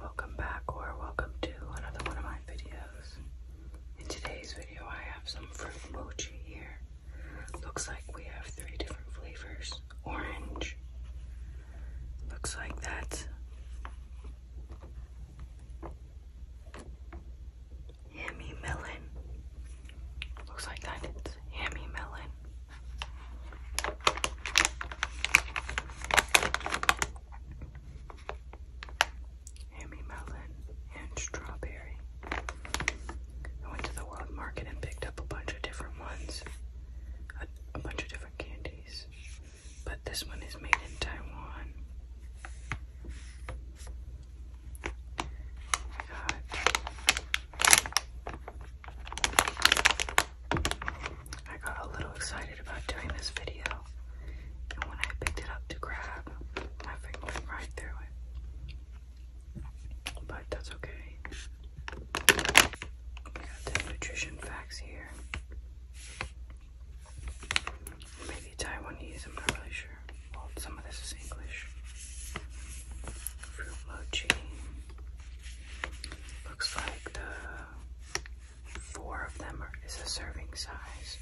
Welcome back or welcome to another one of my videos. In today's video I have some fruit mochi here. Looks like we have three different flavors. Orange. Looks like that's Hammy melon. Looks like that it's hammy melon. Hammy melon and strawberry. I went to the world market and picked up a bunch of different ones, a, bunch of different candies. But this one is made in Taiwan. We got I got a little excited about doing this video, and when I picked it up to grab, my finger went right through it. But that's okay. We got the nutrition facts here. Maybe Taiwanese, I'm not really sure. Well, some of this is English. Fruit mochi. Looks like the four of them is a serving size.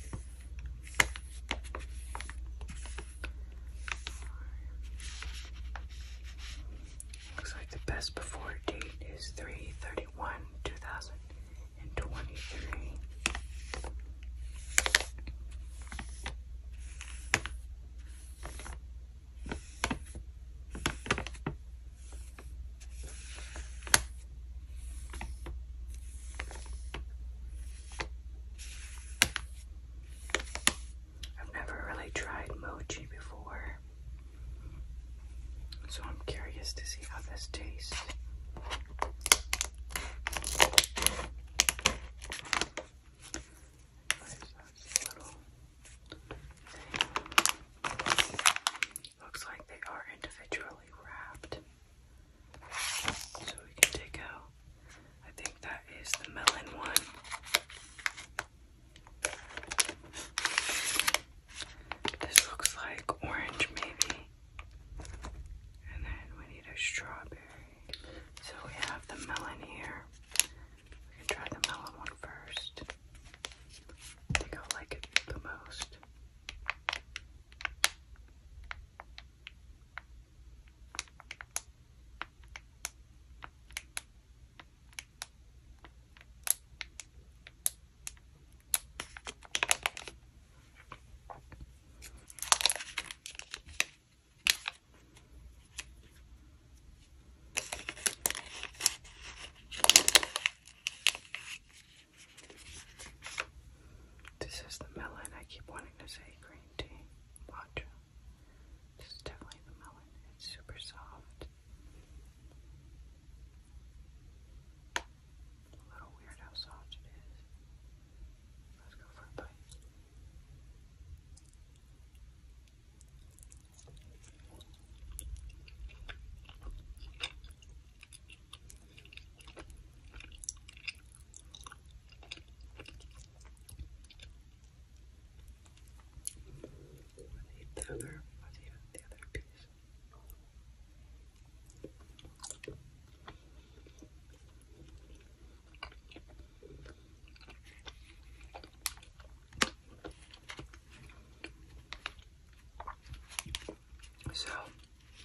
Looks like the best before date is 331 2023. I've never really tried mochi before, so I'm curious to see how this tastes. Nice, that's little Looks like they are individually wrapped. So we can take out, I think that is the melon one. This looks like orange, maybe. And then we need a strawberry. So we have the melon here and try the melon one first. I think I'll like it the most. This is the melon. I keep wanting to say green tea. Watch. This is definitely the melon. It's super soft. A little weird how soft it is. Let's go for a bite. The other, what do you, the other piece? So,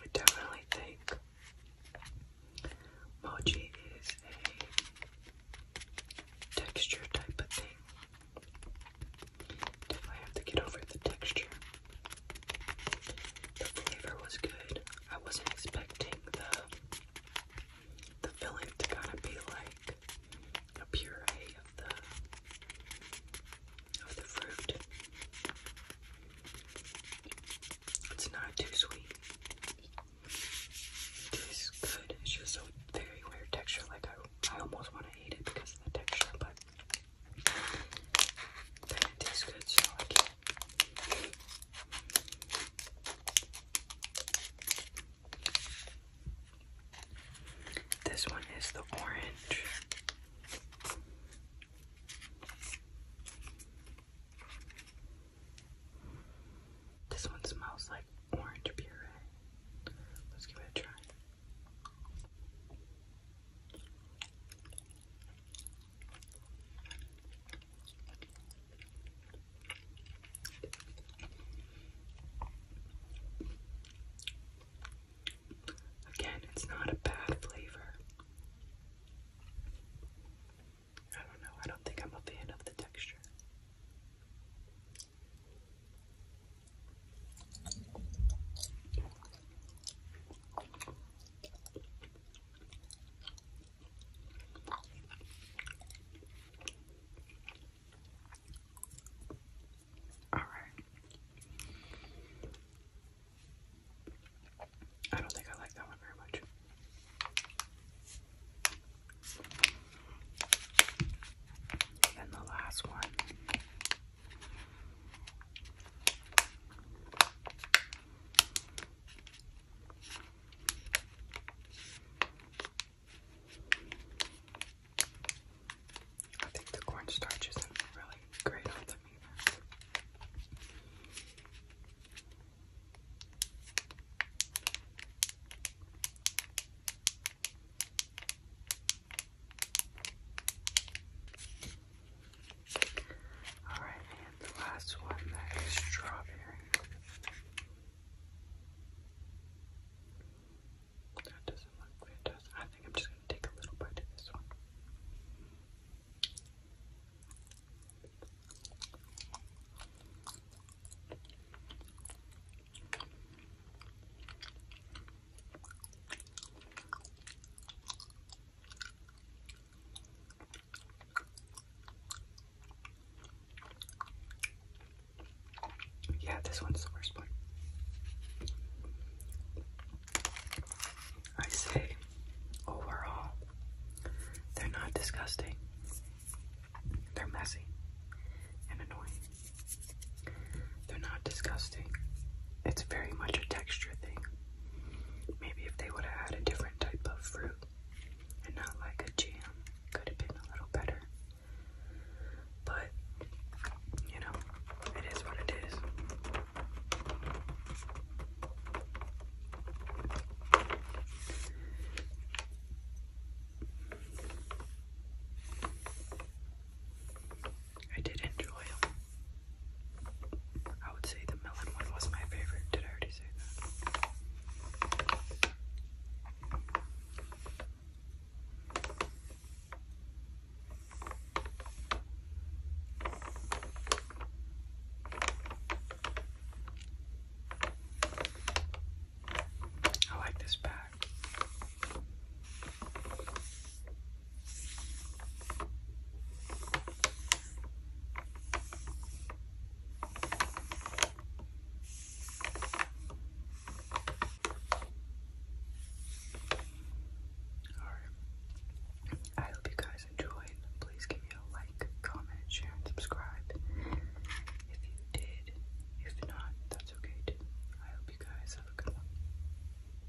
I definitely think mochi is a texture type of thing. Definitely have to get over the texture. The flavor was good. I wasn't expecting the the filling to kind of be like a puree of the of the fruit. It's not too sweet. It tastes good. It's just a very weird texture. Like I, I almost want to eat it because of the texture, but then it tastes good, so I can't. This one is the orange. This one smells like orange puree. Let's give it a try. Again, it's not a bad flavor. I don't know, I don't think I'm a fan of the texture. All right. I don't think I like that one very much. And the last one. I think the cornstarch isn't really great on them either. Alright, and the last one that is strawberry. That doesn't look fantastic. I think I'm just gonna take a little bite of this one. Yeah, this one's the worst one. I say overall, they're not disgusting, they're messy and annoying. They're not disgusting, it's very much a texture thing. Maybe if they would have had a different type of fruit and not like a jam, could have been a little better. But, you know, it is what it is. I did enjoy them. I would say the melon one was my favorite. Did I already say that? I like this bag. Alright. I hope you guys enjoyed. Please give me a like, comment, share, and subscribe if you did. If not, that's okay I hope you guys have a good one.